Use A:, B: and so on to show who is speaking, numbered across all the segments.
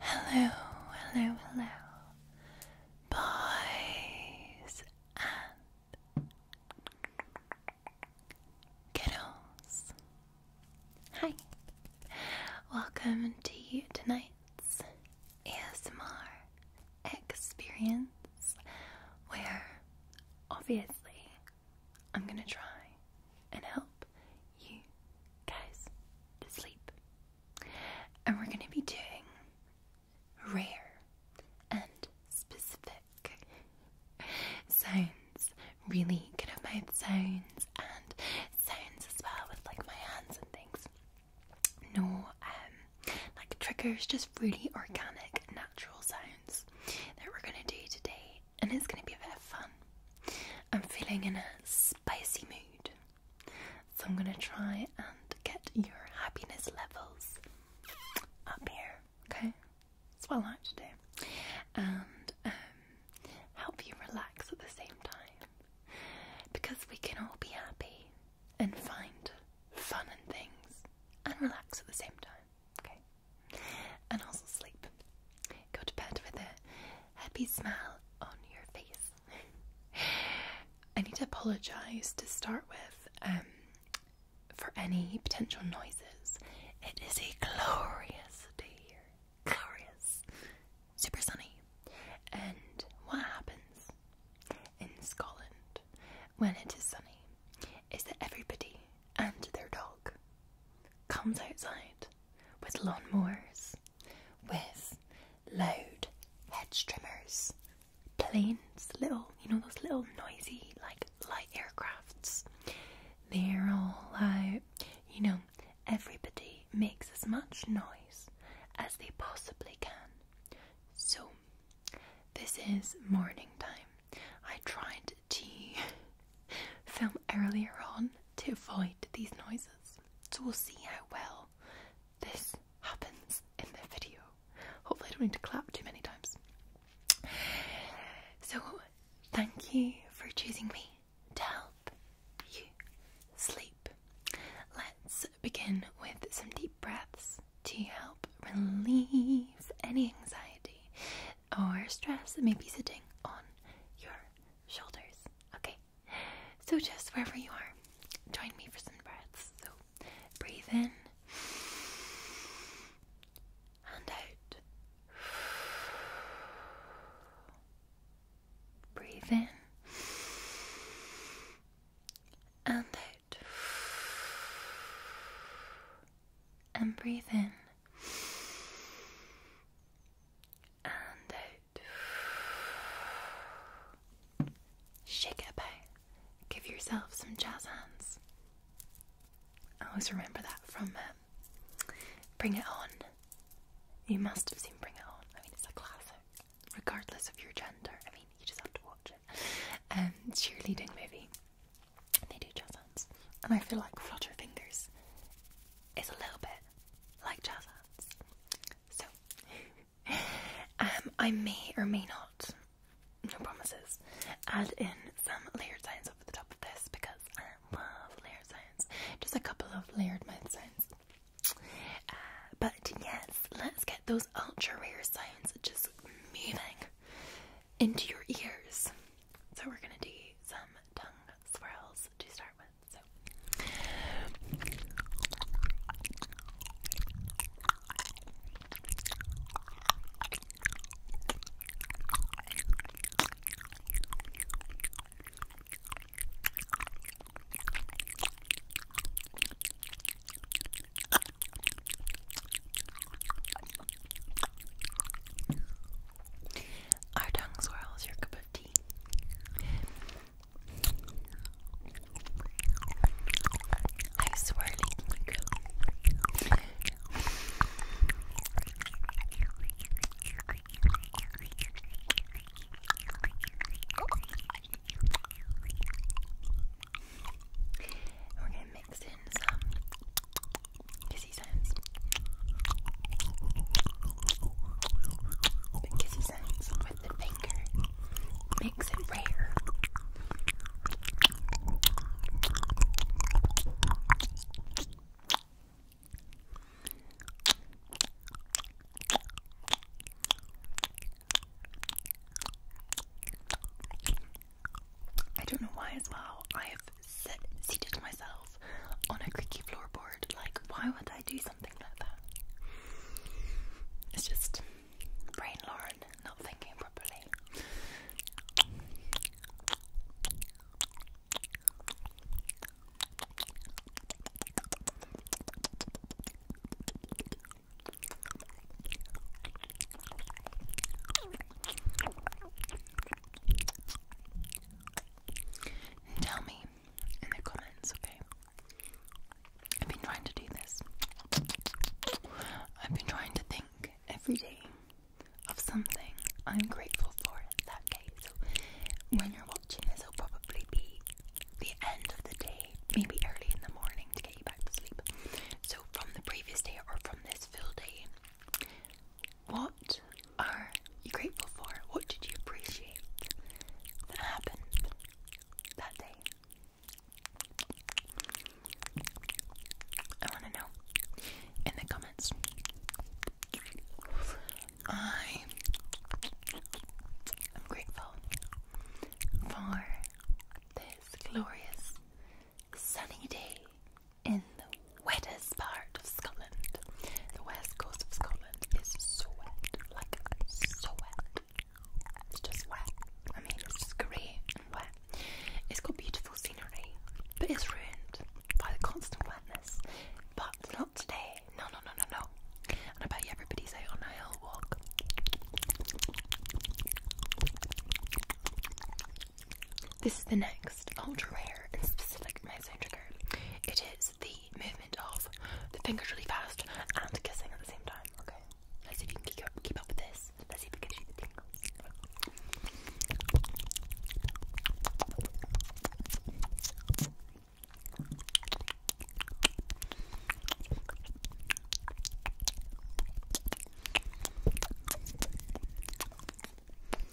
A: Hello, hello, hello, boys and kiddos. Hi, welcome to tonight's ASMR experience, where obviously I'm gonna try and help you guys to sleep. And we're gonna be doing rare and specific sounds. Really good at mouth sounds and sounds as well with like my hands and things. No um like triggers, just really organic, natural sounds that we're gonna do today and it's going to be a bit of fun. I'm feeling in a spicy mood, so I'm going to try and get your happiness levels up here, okay? That's what I like to do. And um, help you relax at the same time because we can all be happy and find fun and things and relax at the same time okay? And also sleep. Go to bed with a happy smile on your face. I need to apologize to start with um, for any potential noises. It is a glorious day here. Glorious. Super sunny. And what happens in Scotland when it is sunny is that everybody and their dog comes outside with lawnmowers, with loud hedge trimmers, planes, little, you know, those little noisy, like light aircrafts. They're all out, you know, everybody makes as much noise as they possibly can. So, this is morning time. I tried to film earlier on to avoid these noises. So we'll see how well this happens in the video. Hopefully I don't need to clap too many times. So thank you for choosing me to help you sleep. Let's begin with some deep breaths to help relieve any anxiety or stress that may be sitting on your shoulders. Okay, so just wherever you are, join me for some breaths. So breathe in and out. Breathe in and out and breathe in and out. Shake it Give yourself some jazz hands. I always remember that from um, Bring It On. You must have seen Bring It On. I mean, it's a classic, regardless of your gender. I mean, you just have to watch it. Um, cheerleading movie. They do jazz and I feel like flutter fingers is a little bit like jazz hands. So, um, I may or may not, no promises, add in some layered sounds over the top of this because I love layered sounds. Just a couple of layered mind sounds. Uh, but yes, let's get those ultra rare sounds just moving into your ears. So we're gonna do some tongue swirls to start with. So our tongue swirls your cup of tea. I swirly We're gonna mix in some Kissy sounds. The kissy sounds with the finger makes it rare. I don't know why as well. I have sit, seated myself on a creaky floorboard. Like, why would I do something like that? It's just brain Lauren not thinking properly tell me in the comments, okay? I've been trying to do this. I've been trying to think every day of something I'm grateful for that day. So when you're watching this, it'll probably be the end of the day, maybe early in the morning to get you back to sleep. So from the previous day or from this full day, what are you grateful for? What did you appreciate that happened that day? I want to know in the comments. I am grateful for this glorious sunny day in the wettest part of Scotland. The west coast of Scotland is so wet, like so wet. It's just wet. I mean, it's just grey and wet. It's got beautiful scenery, but it's ruined by the constant wetness. But not today. No, no, no, no, no. And I bet you everybody's out on a hill walk. This is the next ultra rare and specific messenger card. It is the movement of the fingers really fast and kissing at the same time. Okay, let's see if you can keep up, with this. Let's see if it gives you the tingles.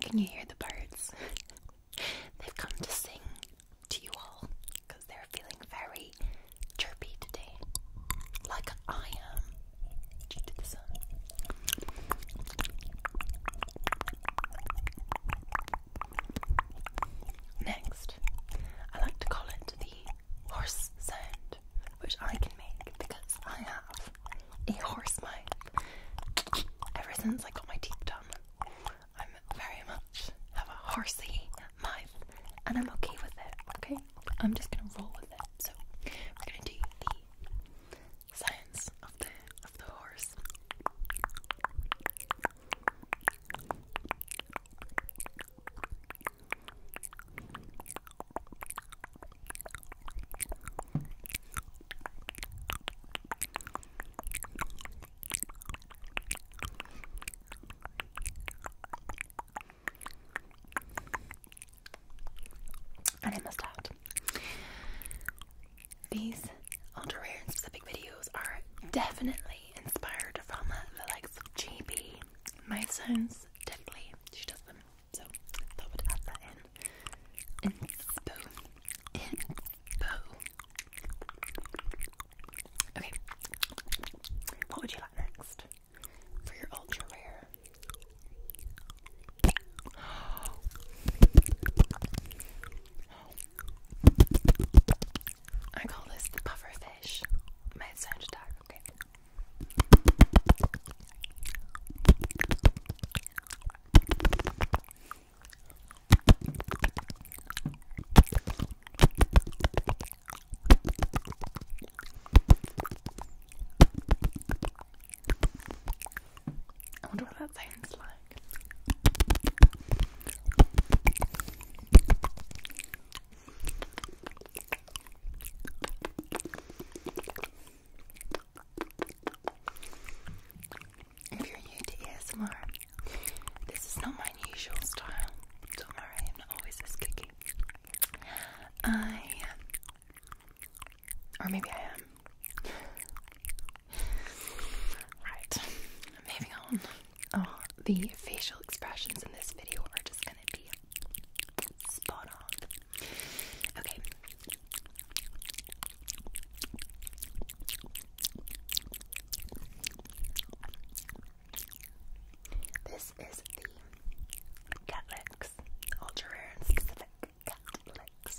A: Can you hear the birds? They've come to sing to you all because they're feeling very chirpy today, like I am. Next, I like to call it the horse sound which I can make because I have a horse mouth. Ever since I got my teeth done, I'm very much have a horsey mouth, and I'm okay with it. Okay, I'm just gonna roll with it. So we're gonna do the science of the of the horse. And I must out. These ultra rare and specific videos are definitely inspired from the likes of JB. My son's definitely she does them. So I would add that in. Info. Info. Okay. What would you like next? For your ultra rare. I call this the puffer fish. Might sound attack, okay. I wonder what that sounds like. If you're new to ASMR, this is not my usual style. Don't worry, I'm not always this kicky. I. Or maybe I am. Right, moving on. Oh, the facial expressions in this video are just gonna be Spot on. Okay. This is the Catlex Ultra Rare and Specific Catlex.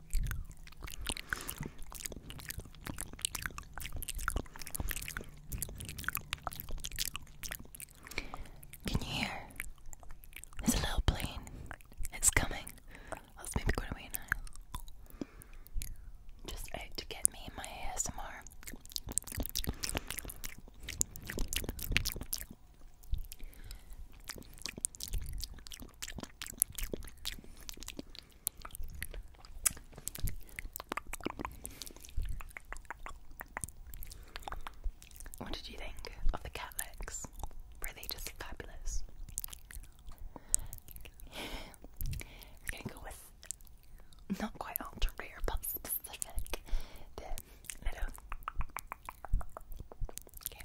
A: Can you hear? There's a little plane. It's coming. I was maybe going away now. Just out to get me my ASMR. What did you think of the cat Were they just fabulous? we gonna go with not quite ultra rare but specific. The little. Okay.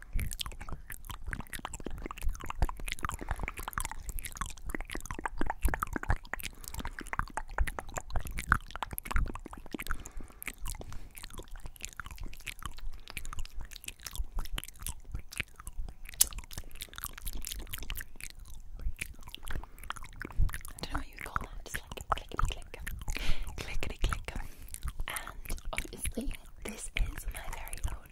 A: don't know what you call that, just like clickety click, clickety click. And obviously, this is my very own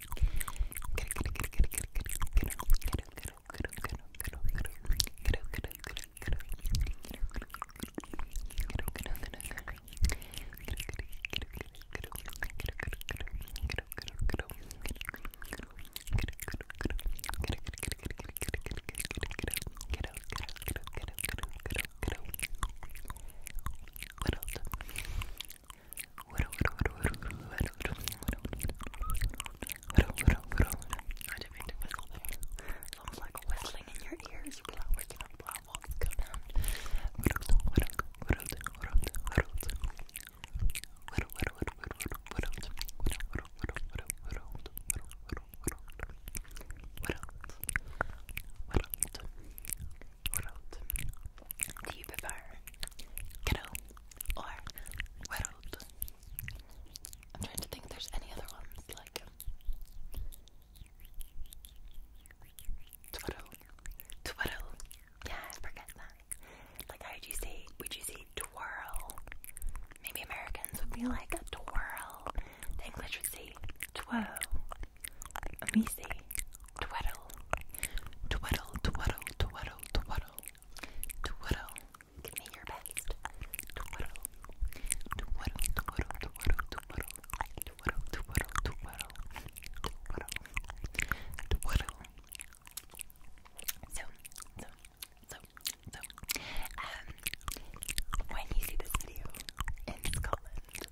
A: What else? As long as like whistling in your ears, you're not waking up while walking around. What else? What else? world? Do you prefer kettle or world? I'm trying to think if there's any other ones like twaddle, twaddle. Yeah, I forget that. Like, how would you say? Would you say twirl? Maybe Americans would be like a twirl. The English would say twirl. And we say twiddle, twiddle, twiddle, twiddle, twaddle, So, so, so, so. Um, when you see this video in Scotland,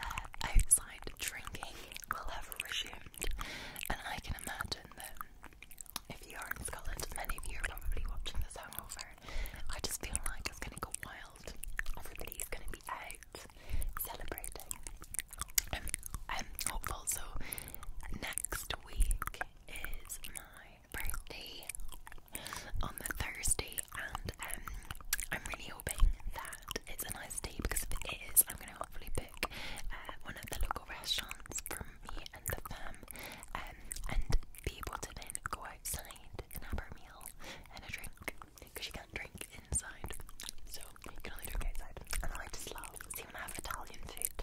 A: uh, outside drinking will have risen and I can imagine that if you are in Scotland, many of you are probably watching this hangover. I just feel like it's going to go wild. Everybody's going to be out celebrating. I'm, hopeful. So, next week is my birthday on the Thursday, and um, I'm really hoping that it's a nice day because if it is, I'm going to hopefully pick uh, one of the local restaurants from me and the fam um, and be able to then go outside and have our meal and a drink because you can't drink inside. So you can only drink outside. And I just love, see when I have Italian food,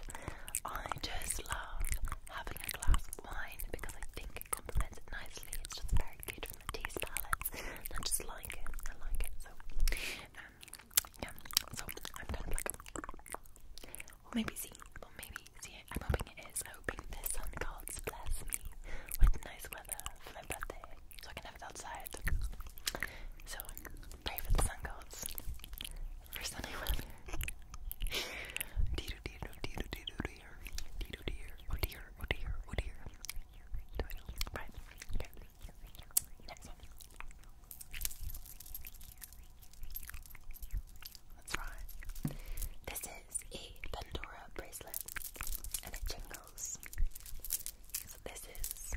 A: I just love having a glass of wine because I think it complements it nicely. It's just very good from the taste palette. I just like it. I like it. So, um, so I'm kind of like, we maybe see, we maybe see it. I'm hoping it is. I'm hoping the sun gods bless me with nice weather for my birthday so I can have it outside. So, pray for the sun gods for sunny weather. Dear, dear, dear, dear, dear, dear, dear, oh dear, oh dear, oh dear. Right, okay. Next one. That's right. This is a Pandora bracelet and it jingles. So this is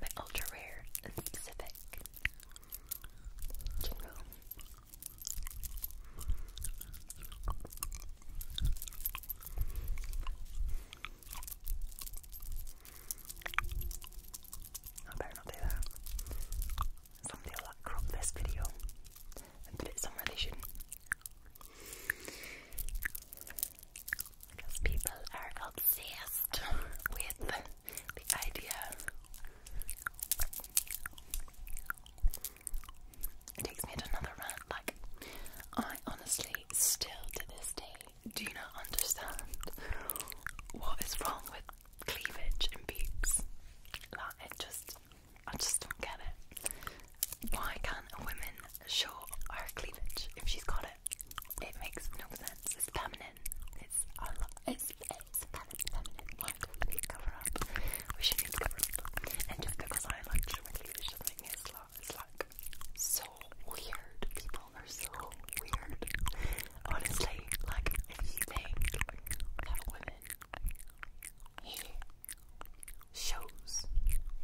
A: my ultra rare and jingle. I better not do that. Somebody will crop this video and put it they should Because people are obsessed with the idea. It takes me to another rant. Like, I honestly still to this day do you not understand what is wrong with cleavage and boobs? Like, it just, I just don't get it. Why can't a show her cleavage if she's got it? It makes no sense. It's feminine. It's It's, it's feminine. feminine. Why do we cover up? We should cover up. And just because I like showing cleavage doesn't make me a it's like so weird. People are so weird. Honestly, like if you women here shows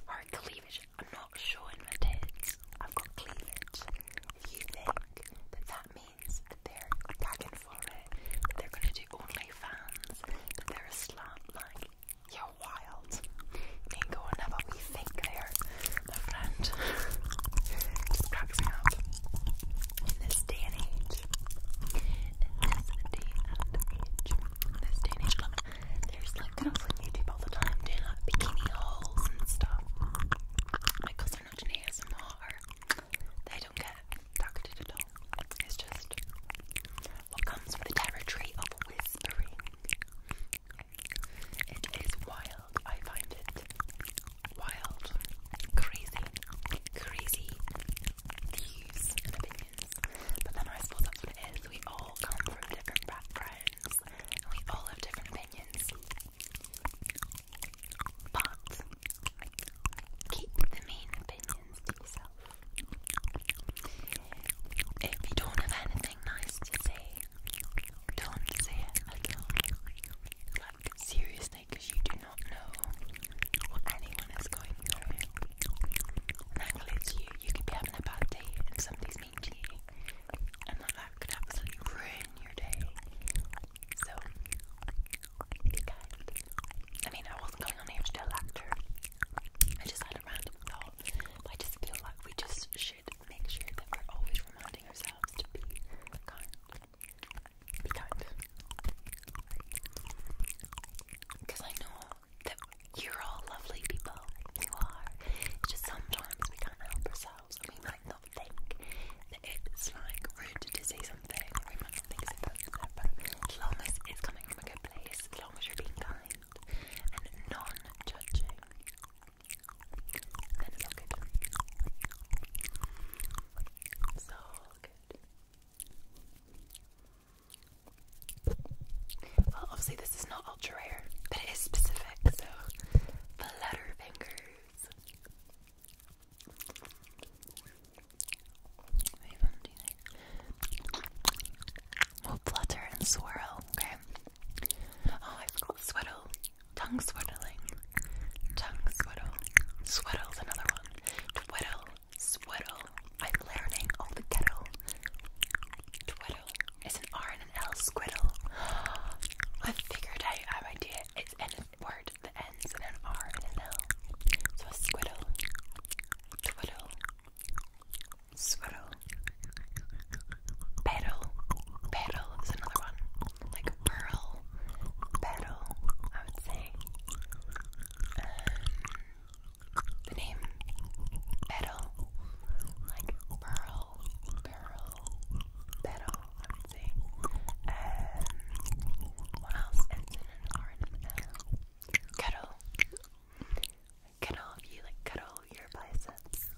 A: our cleavage, I'm not showing my tits. I've got cleavage. If you think that that means that they're gagging for it, they're gonna do OnlyFans, that they're a slut, like, yeah, why ain't going up what we think there, my friend. cracks me up. In this day and age, in this day and age, this day and age, there's like girls on YouTube all the time doing bikini hauls and stuff. My cousin are not an ASMR, they don't get targeted at all. It's just what comes with the territory of whispering. It is wild. I find it wild, crazy, crazy views and opinions. But then I suppose it is. We all come from different backgrounds and we all have different opinions. But keep the main opinions to yourself. If you don't have anything nice to say, don't say it Like, seriously, because you do not know what anyone is going through. Like, it's you. You could be having a bad day and somebody's mean to you. And that could absolutely ruin your day. So, I mean, I wasn't going on here to tell actor. I just had a random thought. I just feel like we just should make sure that we're always reminding ourselves to be kind. Be kind. Because I know that you're all lovely people. You are. just sometimes we can't help ourselves we might not think that it's like rude to say something. We might not think it's that, but as long as it's coming from a good place, as long as you're being kind and non judging. Well, obviously this is not ultra rare, but it is specific. So, flutter fingers will flutter and swirl, okay? Oh, I forgot swaddle. Tongue swaddling. Tongue swaddle. Swaddle's another one. Twiddle. Swaddle. I'm learning all the kettle. Twiddle. It's an R and an L squiddle. I figured out our idea. It's an word that ends in an R and an L. So a squiddle. Twiddle swirl. Petal. Petal is another one. Like pearl. Petal, I would say. Um, the name petal. Like pearl. Pearl. Petal, I would say. Um, what else? It's in an R and can all of you like cuddle your biceps?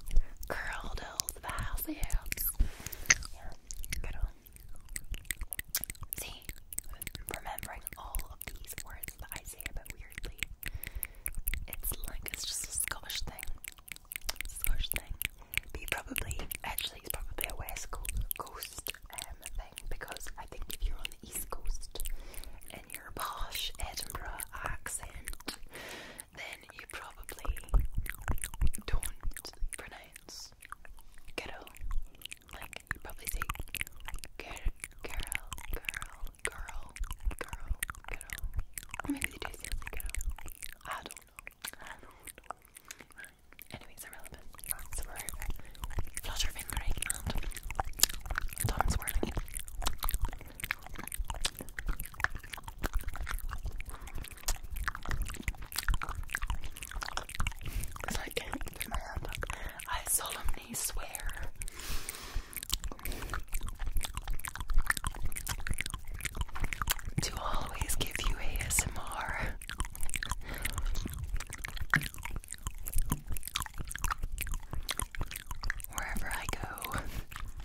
A: Curled the Yeah, cuddle. See, remembering all these words that I say, but weirdly, it's like it's just a Scottish thing. Scottish thing. But probably, actually, it's probably a West Coast um, thing because I think if you're on the East Coast and your posh Edinburgh accent, then you probably don't pronounce girl. Like, probably say girl, girl, girl, girl, girl, girl. Or maybe they do girl. I do Anyways, irrelevant. So we're flutter and tongue swirling. I I solemnly swear. To always give you ASMR. Wherever I go,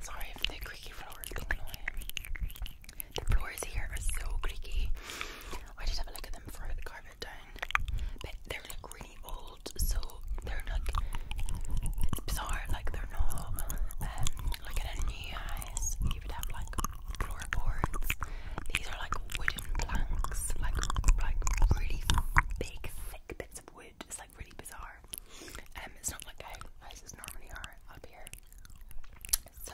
A: Sorry if the creaky floor is going The floors here are so creaky. I just have a look at them Throw the carpet down. But they're really old, so they're not it's bizarre, like they're not um like in a new house you would have like floorboards. These are like wooden planks, like like really big thick bits wood. It's like really bizarre. Um, it's not like how houses normally are up here. So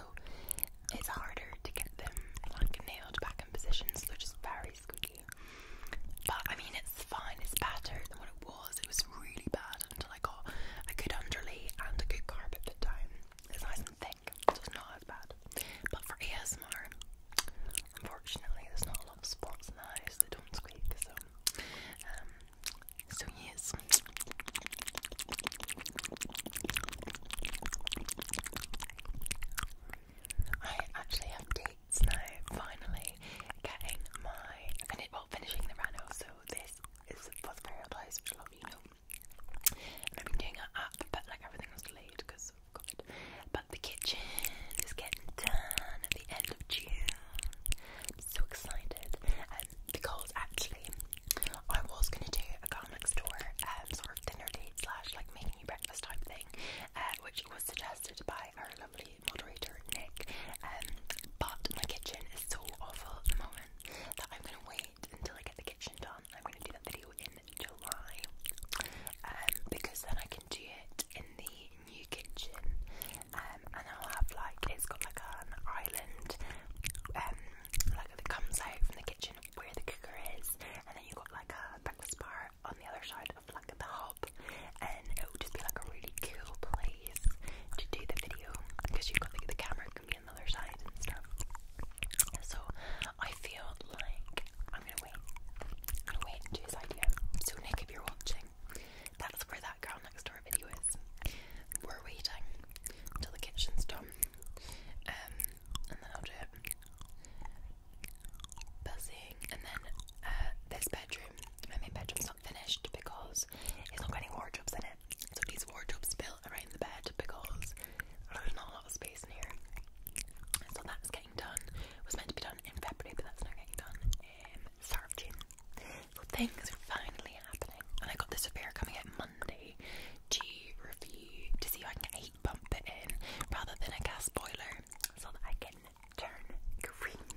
A: it's harder to get them like nailed back in position, so they're just very squeaky. But I mean, it's fine. It's better than what it was. It was really bad until I got a good underlay and a good carpet put down. It's nice and thick, so it's not as bad. But for ASMR, unfortunately, there's not a lot of spots in the house don't squeak, so, um, so yes. I actually have dates now, finally, getting my, fini well, finishing the reno, so this is for the Paradise, which a lot of you know. I've been doing it up, but like everything was delayed because but the kitchen is getting done at the end of June. I'm so excited. Um, because actually, I was going to do a girl next door um, sort of dinner date slash like making you breakfast type thing, uh, which was suggested by our lovely moderator Nick. Um, but my kitchen is so awful at the moment that I'm going to wait until I get the kitchen done. I'm going to do that video in July um, because then I can do it in the new kitchen, um, and I'll have like it's got like an island, um, like that comes out from the kitchen where the cooker is, and then you have got like a breakfast bar on the other side of like the hob, and it would just be like a really cool place to do the video because you've got the, the camera can be on the other side and stuff. So I feel like I'm gonna wait. I'm gonna wait and do his idea. So Nick, if you're watching, that's where that girl next door video is. We're waiting until the kitchen's done. Um, and then I'll do it. Buzzing and then uh this bedroom. My main bedroom's not finished because it's not got any wardrobes in it. So these wardrobes built around the bed because there's not a lot of space in here. So that's getting done. It was meant to be done um, in February, but that's not getting done in start So things are finally happening, and I got this affair coming out Monday to review to see if I can heat bump it in rather than a gas boiler, so that I can turn green.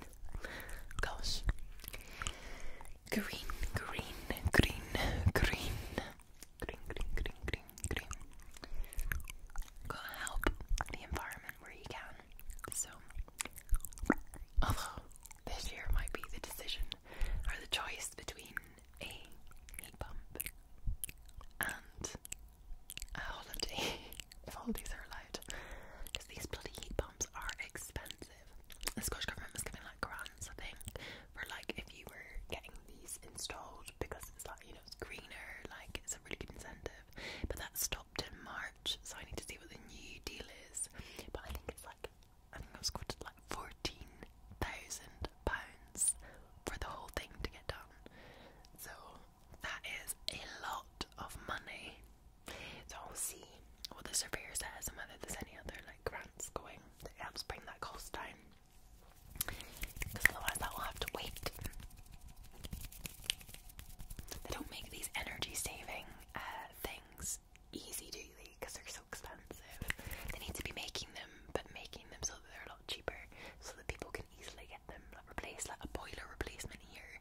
A: Gosh, green, green, green, green, green, green, green, green, green. Gotta help the environment where you can. So, this year might be the decision or the choice between a heat pump and a holiday, if holidays are allowed, because these bloody heat pumps are expensive. The Scottish government was giving like grants, I think, for like if you were getting these installed because it's like you know it's greener, like it's a really good incentive but that stopped in March, so I need to see what the new deal is. But I think it's like I think I was quoted like fourteen thousand pounds for the whole thing to get done. So that is a lot of money. So we will see what the surveyor says and whether there's any other like grants going that helps bring that cost down. Because otherwise, that will have to wait they don't make these energy saving uh, things easy, do they? Because they're so expensive. They need to be making them, but making them so that they're a lot cheaper, so that people can easily get them like, replaced. Like a boiler replacement here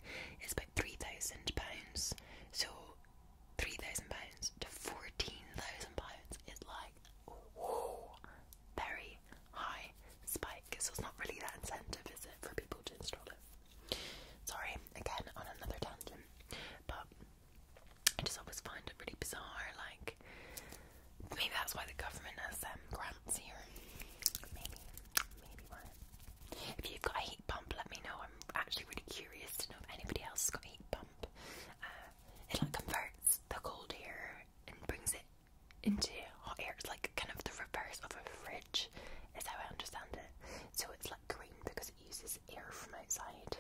A: is about three thousand pounds, so three thousand pounds to fourteen thousand pounds is like whoa, very high spike, so it's not really that incentive, is it, for people to install it? Sorry, again, on another tangent, but I just always find it really bizarre, like, maybe that's why the government has them um, grants here, maybe, maybe why. If you've got a heat pump, let me know, I'm actually really curious to know if anybody else has got a heat pump. Uh, it like converts the cold here and brings it into hot air. It's like kind of the reverse of a fridge, is how I understand it. So it's like green because it uses air from outside,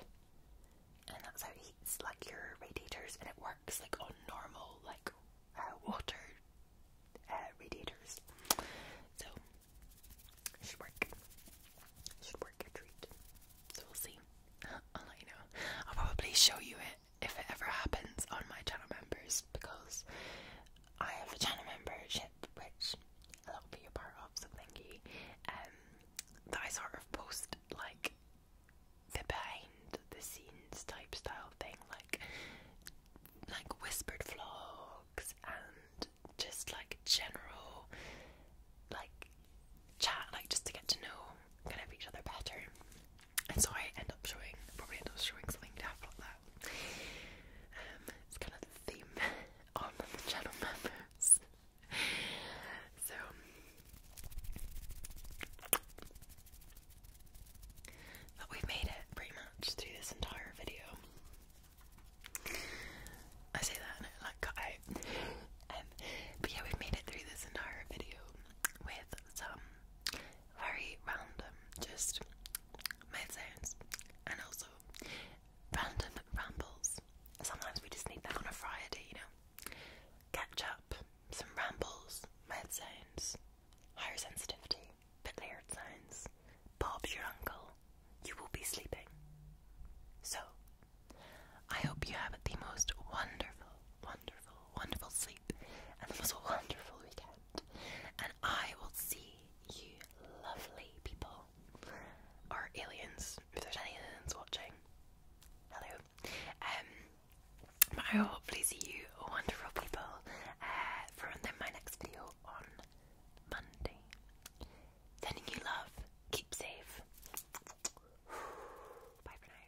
A: and that's how it heats like your radiators, and it works like on normal like uh, water uh, radiators. So should work. should work treat. So we'll see. I'll let you know. I'll probably show you it if it ever happens on my channel members because I have a channel membership which a lot of people are part of, so thank you. Um, that I sort of post like the behind the scenes type style thing, like like whispered vlogs and just like general like chat, like just to get to know kind of each other better and so I end up showing, probably end up showing something daft um, it's kind of the theme on the channel members. so, but we've made it pretty much through this entire video. I say that like cut um, but yeah, we've made it through this entire video with some very random, just mouth sounds, and also random rambles. Sometimes we just need that on a Friday, you know. Catch up, some rambles, mouth sounds, higher sensitivity, bit layered sounds. Bob's your uncle. You will be sleeping. So, I hope you have the most wonderful, wonderful, wonderful sleep and it was a wonderful weekend. And I will see you lovely people or aliens, if there's any aliens watching. Hello. Um but I will hopefully see you wonderful people uh, for my next video on Monday. Sending you love. Keep safe. Bye for now.